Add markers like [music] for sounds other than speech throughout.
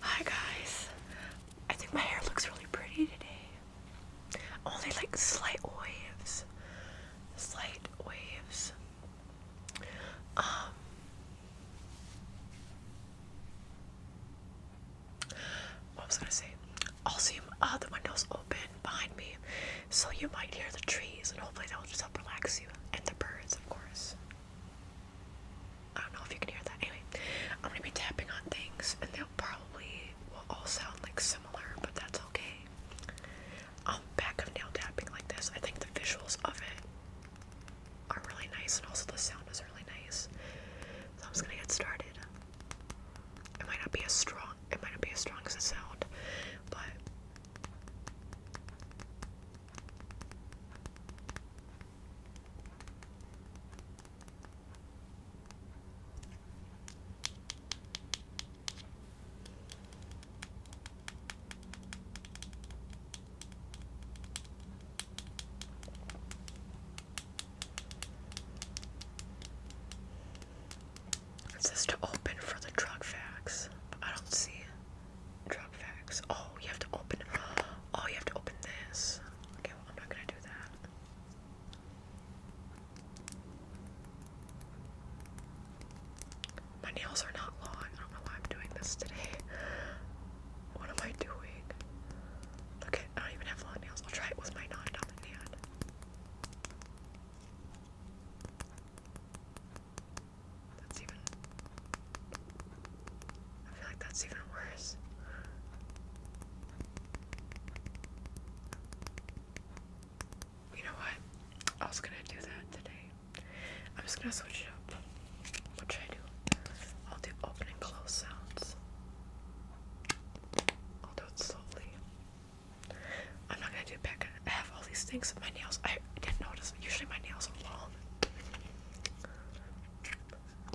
Hi guys, I think my hair looks really pretty today. Only like slight waves, slight waves. Um, what was I gonna say? Also, you, uh, the window's open behind me, so you might hear the trees, and hopefully that will just help relax you, and the birds, of course. I don't know if you can hear that. Anyway, I'm gonna be tapping on things and they'll probably will all sound like similar, but that's okay. Um back of nail tapping like this. I think the visuals of it are really nice and also the sound is really nice. So I'm just gonna get started. It might not be as strong it might not be as strong as a sound, but it says to open for the drug facts, but I don't see it drug facts. Oh, you have to open. Oh, you have to open this. Okay, I'm not gonna do that. My nails are not long. I don't know why I'm doing this today. What am I doing? Look at, I don't even have long nails. I'll try it with my non-dominant that's even. I feel like that's even worse. You know what? I was gonna do that today. I'm just gonna switch it up. What should I do? I'll do open and close sounds. I'll do it slowly. I'm not gonna do back. I have all these things. in My nails. I didn't notice. Usually my nails are long.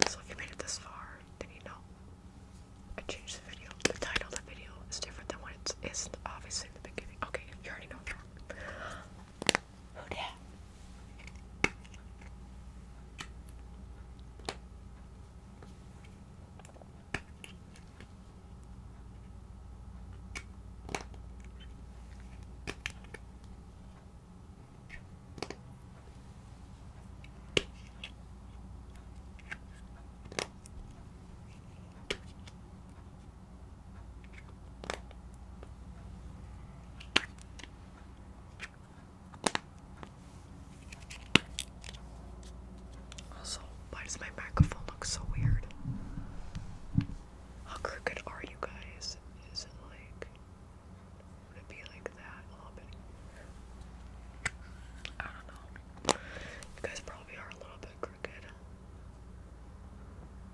So if you made it this far, then you know I changed the video. The title of the video is different than what it is obviously in the beginning. Okay, you already know that. Who also, why does my microphone look so weird? How crooked are you guys? Is it like I'm be like that a little bit. I don't know. You guys probably are a little bit crooked.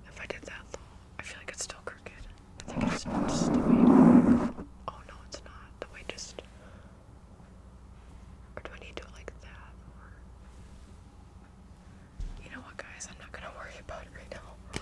If I did that though, I feel like it's still crooked. I think it's just the way. Oh no, it's not. The way just. Or do I need to do it like that? You know what, guys? I'm not gonna worry about it right now.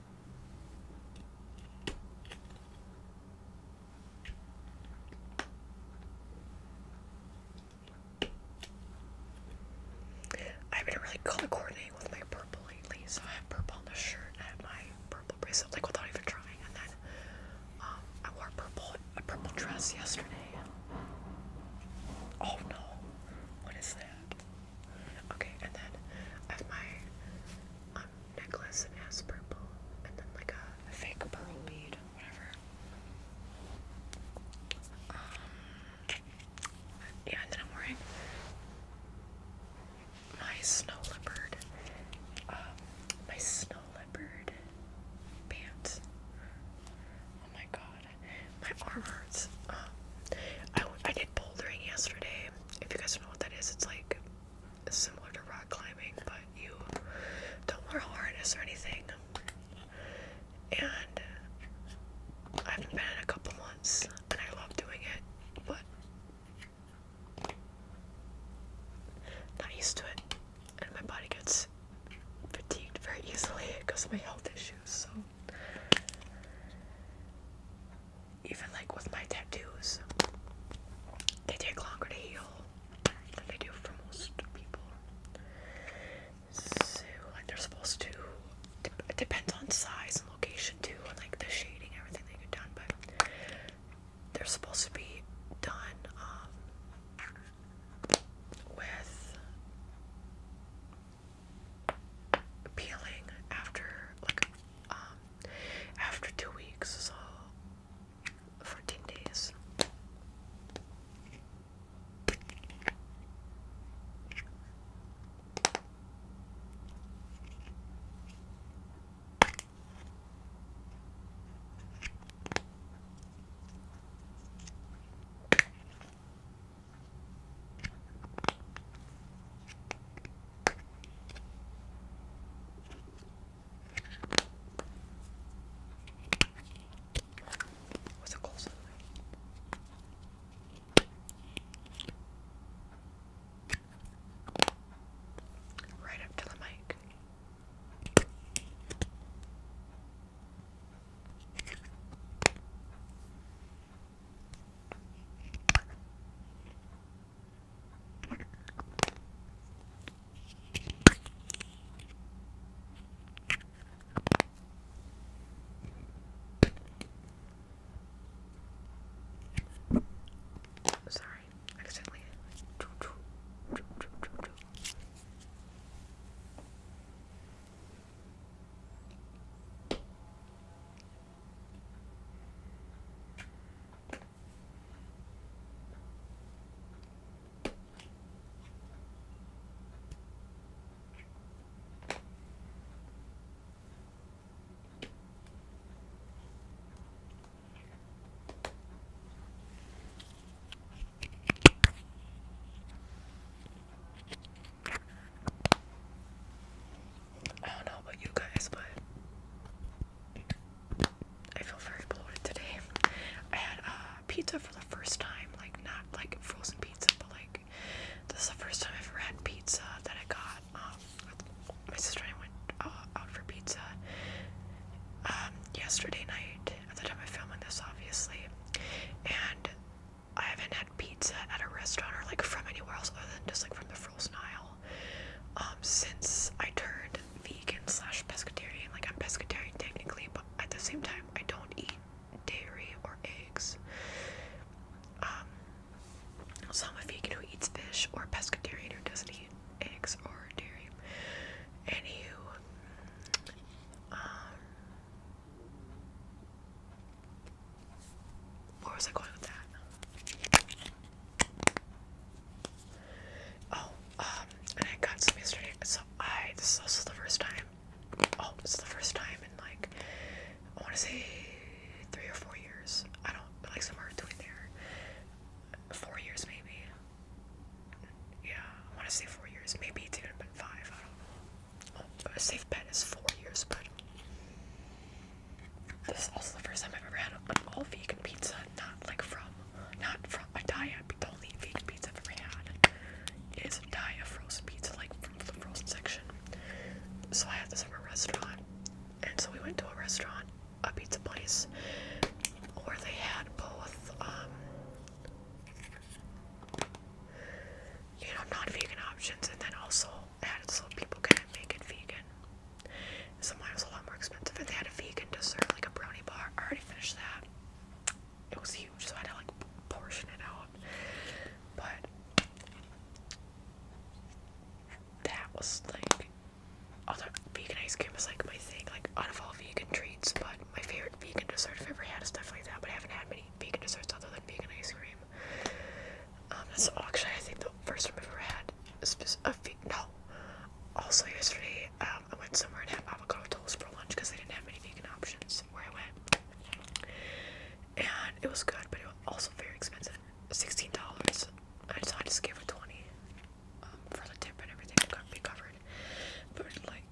I've been really color coordinating with my purple lately, so I have purple on the shirt I have my purple bracelet, like without even trying. And then um, I wore a purple a purple dress yesterday. Oh no, what is that? Okay, and then I have my um, necklace and has purple and then like a, fake pearl bead, whatever. Um, yeah, and then I'm wearing my snow leopard, um, my snow leopard pants. Oh my god, my arm hurts. Um, I, I did bouldering yesterday. If you guys don't know what that is, it's like similar to rock climbing, but you don't wear a harness or anything. And I haven't been in a couple months, and I love doing it, but not used to it, and my body gets fatigued very easily because [laughs] of my health issues. So even like with my tattoos, they take longer to heal than they do for most people. So, like, they're supposed to. depends on size and location too, and like the shading, everything that you've done. But they're supposed to be done um, with peeling after like um, after two weeks, so fourteen days. What's a Right up to the mic. Sorry, accidentally. I don't know about you guys, but I feel very bloated today. I had uh, pizza for the first time, like not like frozen pizza, but like this is the first time I've ever had pizza that I got. Um, my sister and I went uh, out for pizza um, yesterday night. At the time I'm filming this, obviously, and I haven't had pizza at a restaurant or like from anywhere else other than just like from the frozen aisle. Um, since I turned vegan slash pescatarian, like I'm pescatarian technically, but at the same time I don't eat dairy or eggs. Um, so I'm a vegan who eats fish or a pescatarian who doesn't eat eggs or dairy. Anywho, um, where was I going with that? Oh, um, and I got some yesterday. So I this is also the first time. Oh, it's the first time in like I want to say three or four years. I don't like somewhere between there. Four years maybe. Yeah, I want to say four years. Maybe it's even been five. I don't know. Oh, a safe bet is four years, but this is also the first time I've ever had an all vegan pizza, not like from, not from a diet. The only vegan pizza I've ever had is a diet of frozen pizza, like from the frozen section. So I had this from a restaurant, and so we went to a restaurant, a pizza place, where they had both, um, you know, non-vegan options, and then also I had added so people can not make it vegan. So mine was a lot more expensive. If they had a vegan dessert, like a brownie bar, I already finished that. It was huge, so I had to like portion it out. But that was like although vegan ice cream is like my thing, like out of all vegan treats, but my favorite vegan dessert I've ever had is definitely that, but I haven't had many vegan desserts other than vegan ice cream. Um, that's actually I think the first one I've ever had. Is a few, no. Also yesterday, um, I went somewhere and had avocado toast for lunch because they didn't have any vegan options where I went. And it was good, but it was also very expensive. Sixteen dollars. I decided to give gave her twenty um, for the tip and everything to be covered. But like,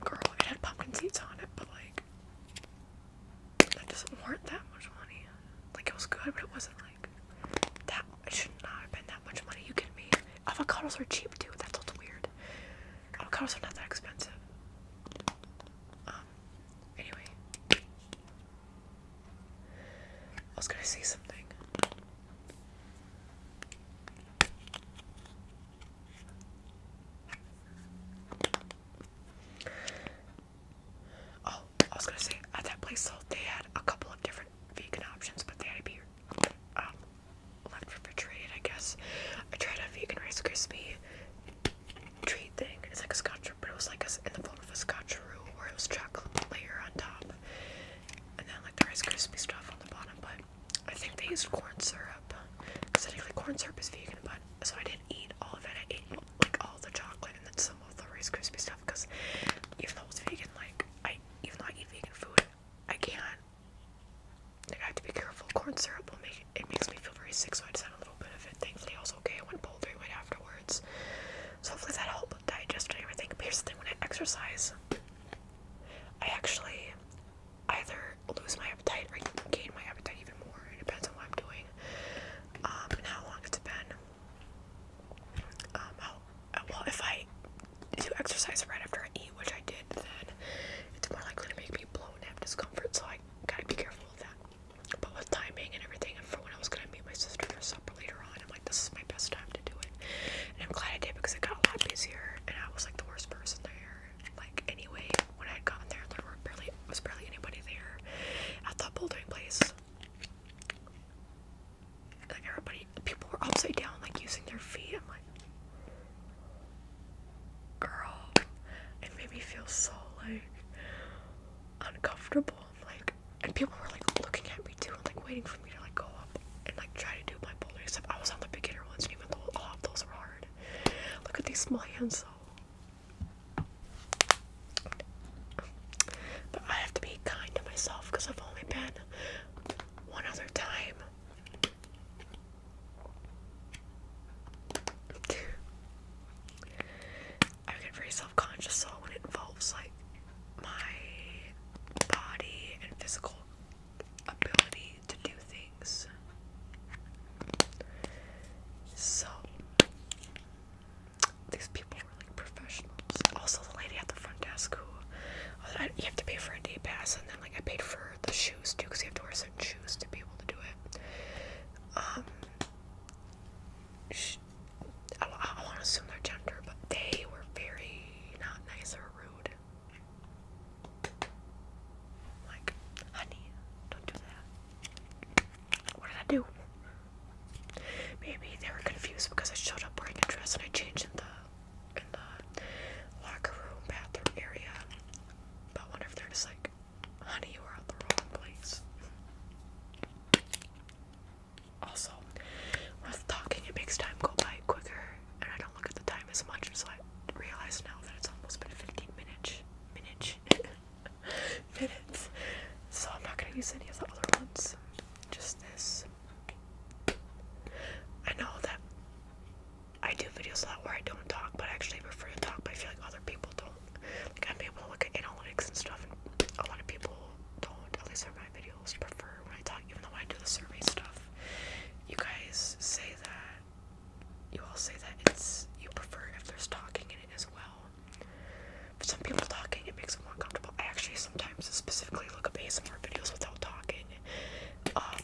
girl, it had pumpkin seeds on it, but like, that doesn't warrant that much money. Like it was good, but it wasn't like that. It should not have been that much money. You kidding me? Avocados are cheap too. That's what's weird. Avocados are not that expensive. Um. Anyway, I was gonna say something. Oh, I was gonna say at that place though they had a couple of different vegan options, but they had to be um, left refrigerated, I guess. I tried a vegan Rice Krispie treat thing. It's like a scotch, but it was like in the form of a scotch roux, where it was chocolate layer on top, and then like the Rice Krispie stuff on the bottom. But I think they used corn syrup. Because technically corn syrup is vegan, but so I didn't eat all of it. I ate like all the chocolate and then some of the Rice Krispie stuff because even though it's vegan, like I even though I eat vegan food, I can't. Like I have to be careful. Corn syrup will make it makes me feel very sick, so I just had a little bit of it. Thankfully, I was okay. I went bouldering right afterwards, so hopefully that helped with digestion and everything. But here's the thing: when I exercise, I actually either lose my appetite or gain my appetite even more. It depends on what I'm doing um, and how long it's been i um, oh, uh, well, if I do exercise right after I eat, which I did, then it's more likely to make me blown up discomfort, so I gotta be careful with that. But with timing and everything, and for when I was gonna meet my sister for supper later on, I'm like, this is my best time to do it. And I'm glad I did because it got a lot busier, and I was like the worst person there. Like, anyway, when I had gotten there, there were barely, was barely anybody there. At the bouldering place, like everybody, people were upside down, like using their feet. I'm like, girl, it made me feel so like uncomfortable. like, and people were like looking at me too, and like waiting for me to like go up and like try to do my bouldering stuff. I was on the beginner ones, and even though all of those were hard. Look at these small hands though. But I have to be kind to myself because I've only been one other time. I get very self conscious, so when it involves like my body and physical ability to do things. So, these people were like professionals. Also, the lady at the front desk who oh, you have to pay for a day pass, and then like I paid for the shoes too because you have to wear certain shoes to be able to do it. Um, she, I, I want to assume their gender, but they were very not nice or rude. Like, honey, don't do that. What did I do? Maybe they were confused because I showed up wearing a dress and I changed in the in the locker room bathroom area. But wonder if they're just like, honey, you were at the wrong place. Also, when talking, it makes time go by quicker, and I don't look at the time as much, so I realize now that it's almost been 15 minutes. Minute minutes. So I'm not gonna use any of the other ones. Just this. I know that I do videos a lot where I don't talk, but I actually prefer to talk, but I feel like other people don't. Like I'm able to look at analytics and stuff a lot of people don't, at least on my videos, prefer when I talk, even though I do the survey stuff. You guys say that you all say that it's you prefer if there's talking in it as well. For some people, talking it makes them more comfortable. I actually sometimes specifically look up ASMR videos without talking. Um,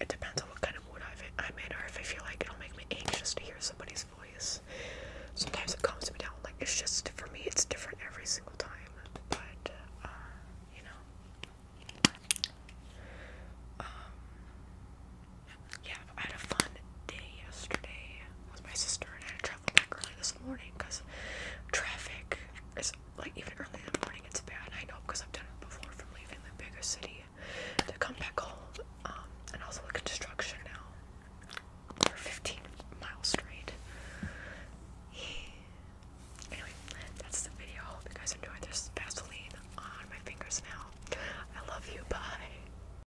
it depends on what kind of mood I'm in, or if I feel like it'll make me anxious to hear somebody's voice. Sometimes it calms me down. Like it's just for me, it's different every single time. But uh, you know, um, yeah, I had a fun day yesterday with my sister, and I had to travel back early this morning because traffic is like even early in the morning it's bad. I know because I've done it before from leaving the bigger city to come back home, um, and also construction now for 15 miles straight. Anyway, that's the video. I hope you guys enjoyed. There's Vaseline on my fingers now. I love you. Bye.